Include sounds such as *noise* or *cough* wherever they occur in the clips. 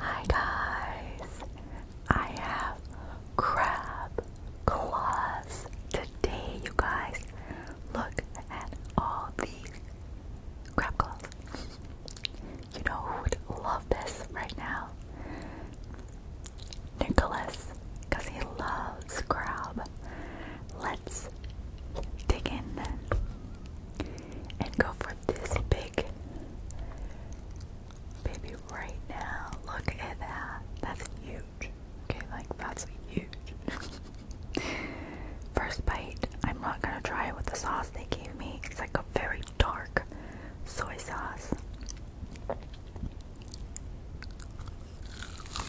Hi guys, I have crab claws today, you guys. Look at all these crab claws. You know who would love this right now? Nicholas, because he loves crab. Let's dig in and go for this big baby right now. Look at that. That's huge. Okay, like that's huge. *laughs* First bite, I'm not gonna try it with the sauce they gave me. It's like a very dark soy sauce.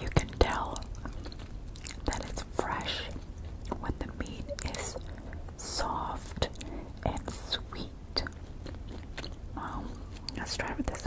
You can tell that it's fresh when the meat is soft and sweet. Um, let's try with this.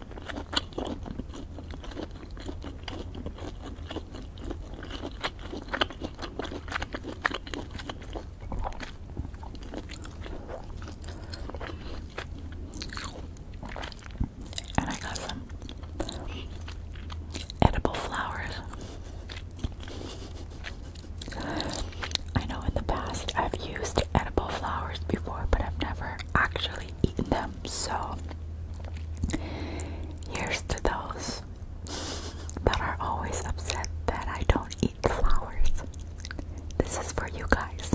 And I got some edible flowers. I know in the past I've used edible flowers before, but I've never actually eaten them. Um, so here's to those that are always upset that I don't eat flowers. This is for you guys.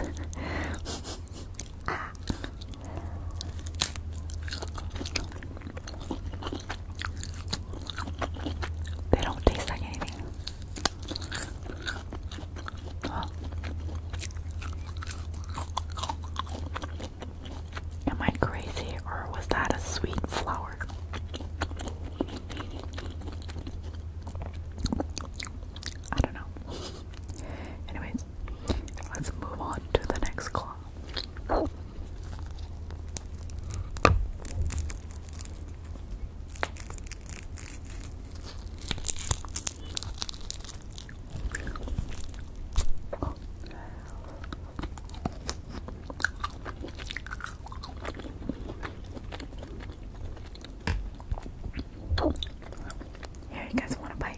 *laughs* They don't taste like anything. Am I crazy or was that a sweet flower? I don't know. Anyways, let's move on to the next claw. Here, you guys want a bite?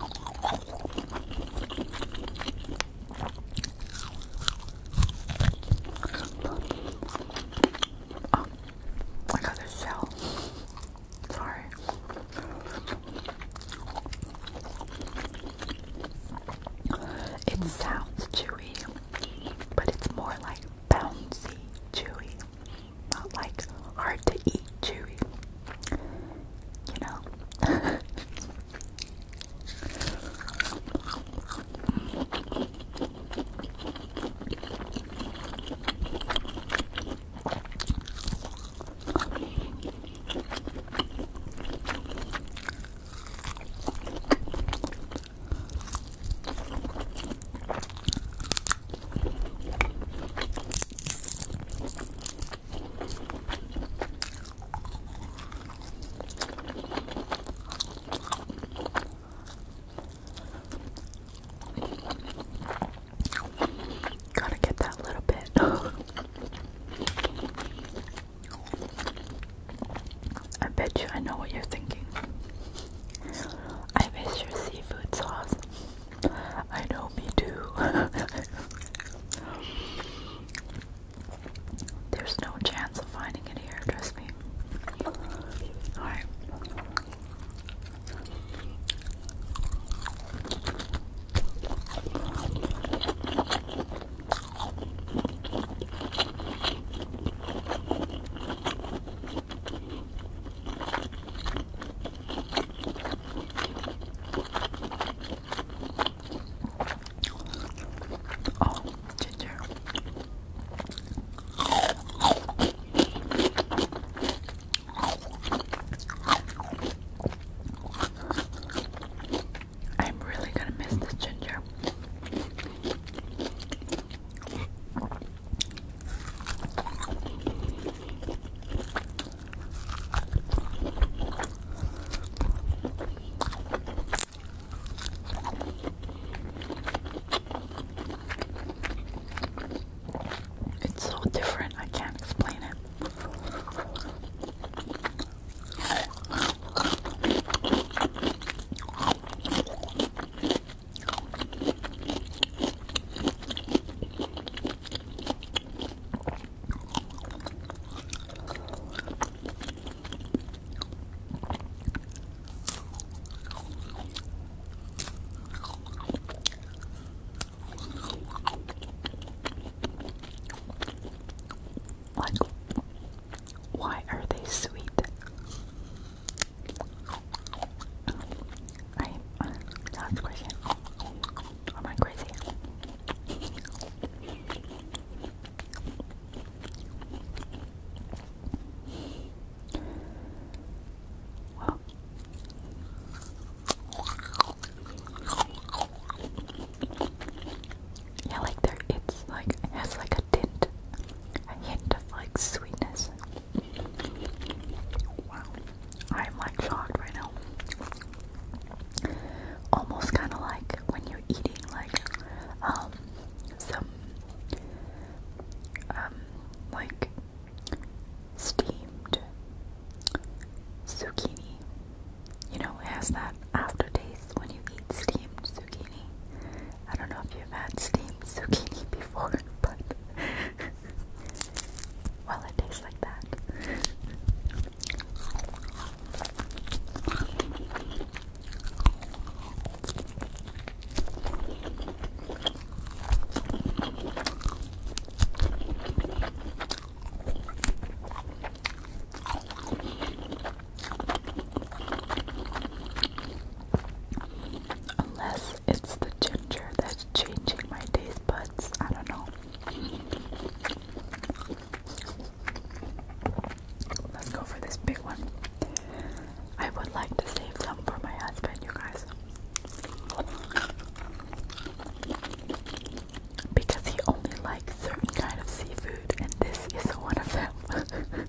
Oh, I got a shell. Sorry. It sounds chewy, but it's more like bouncy chewy not like hard to eat, chewy. You know? Gotta get that little bit. *laughs* I bet you I know what you're thinking. I miss your seafood sauce. I know me too. *laughs* There's no chance of finding it here, trust me. Alright. Oh, ginger. I'm really gonna miss this ginger. It's so different, I can't explain it. Like, why are they sweet? Right? Sounds question. Am I crazy? Yeah, like there, it's like has like a tint, a hint of like sweetness. Wow. I'm like shocked right now. Almost kind of like when you're eating like um some um like steamed zucchini. You know, has that aftertaste when you eat steamed zucchini. I don't know if you've had steamed zucchini before, *laughs* but well, it tastes like that. Unless it's the ginger that's changing my taste buds. I don't know. Let's go for this big one. I would like to save some for my husband, you guys. Because he only likes certain kind of seafood, and this is one of them. *laughs*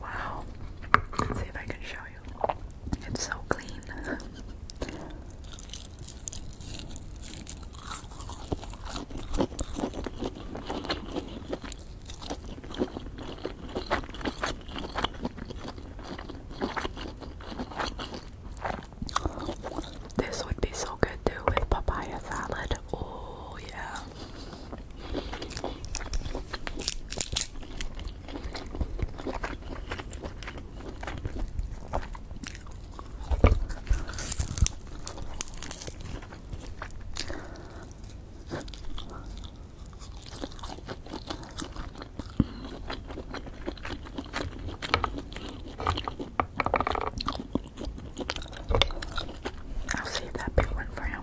Wow. Let's see if I can show you. It's so clean. This would be so good too with papaya salad. Oh, yeah. I'll save that big one for him.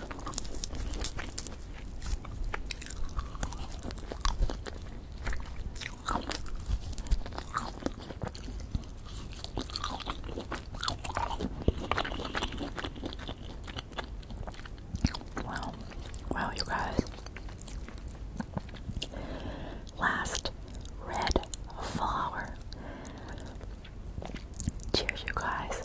Wow, wow, you guys. Last red flower. Cheers, you guys.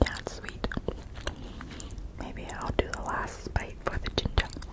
That's sweet. Maybe I'll do the last bite for the ginger.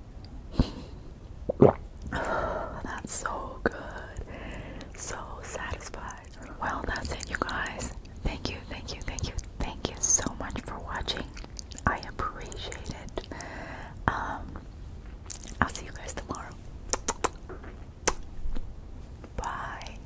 *sighs* That's so good. So satisfied. Well, that's it, you guys. Thank you, thank you, thank you, thank you so much for watching. I appreciate it. Um, I'll see you guys tomorrow. Bye.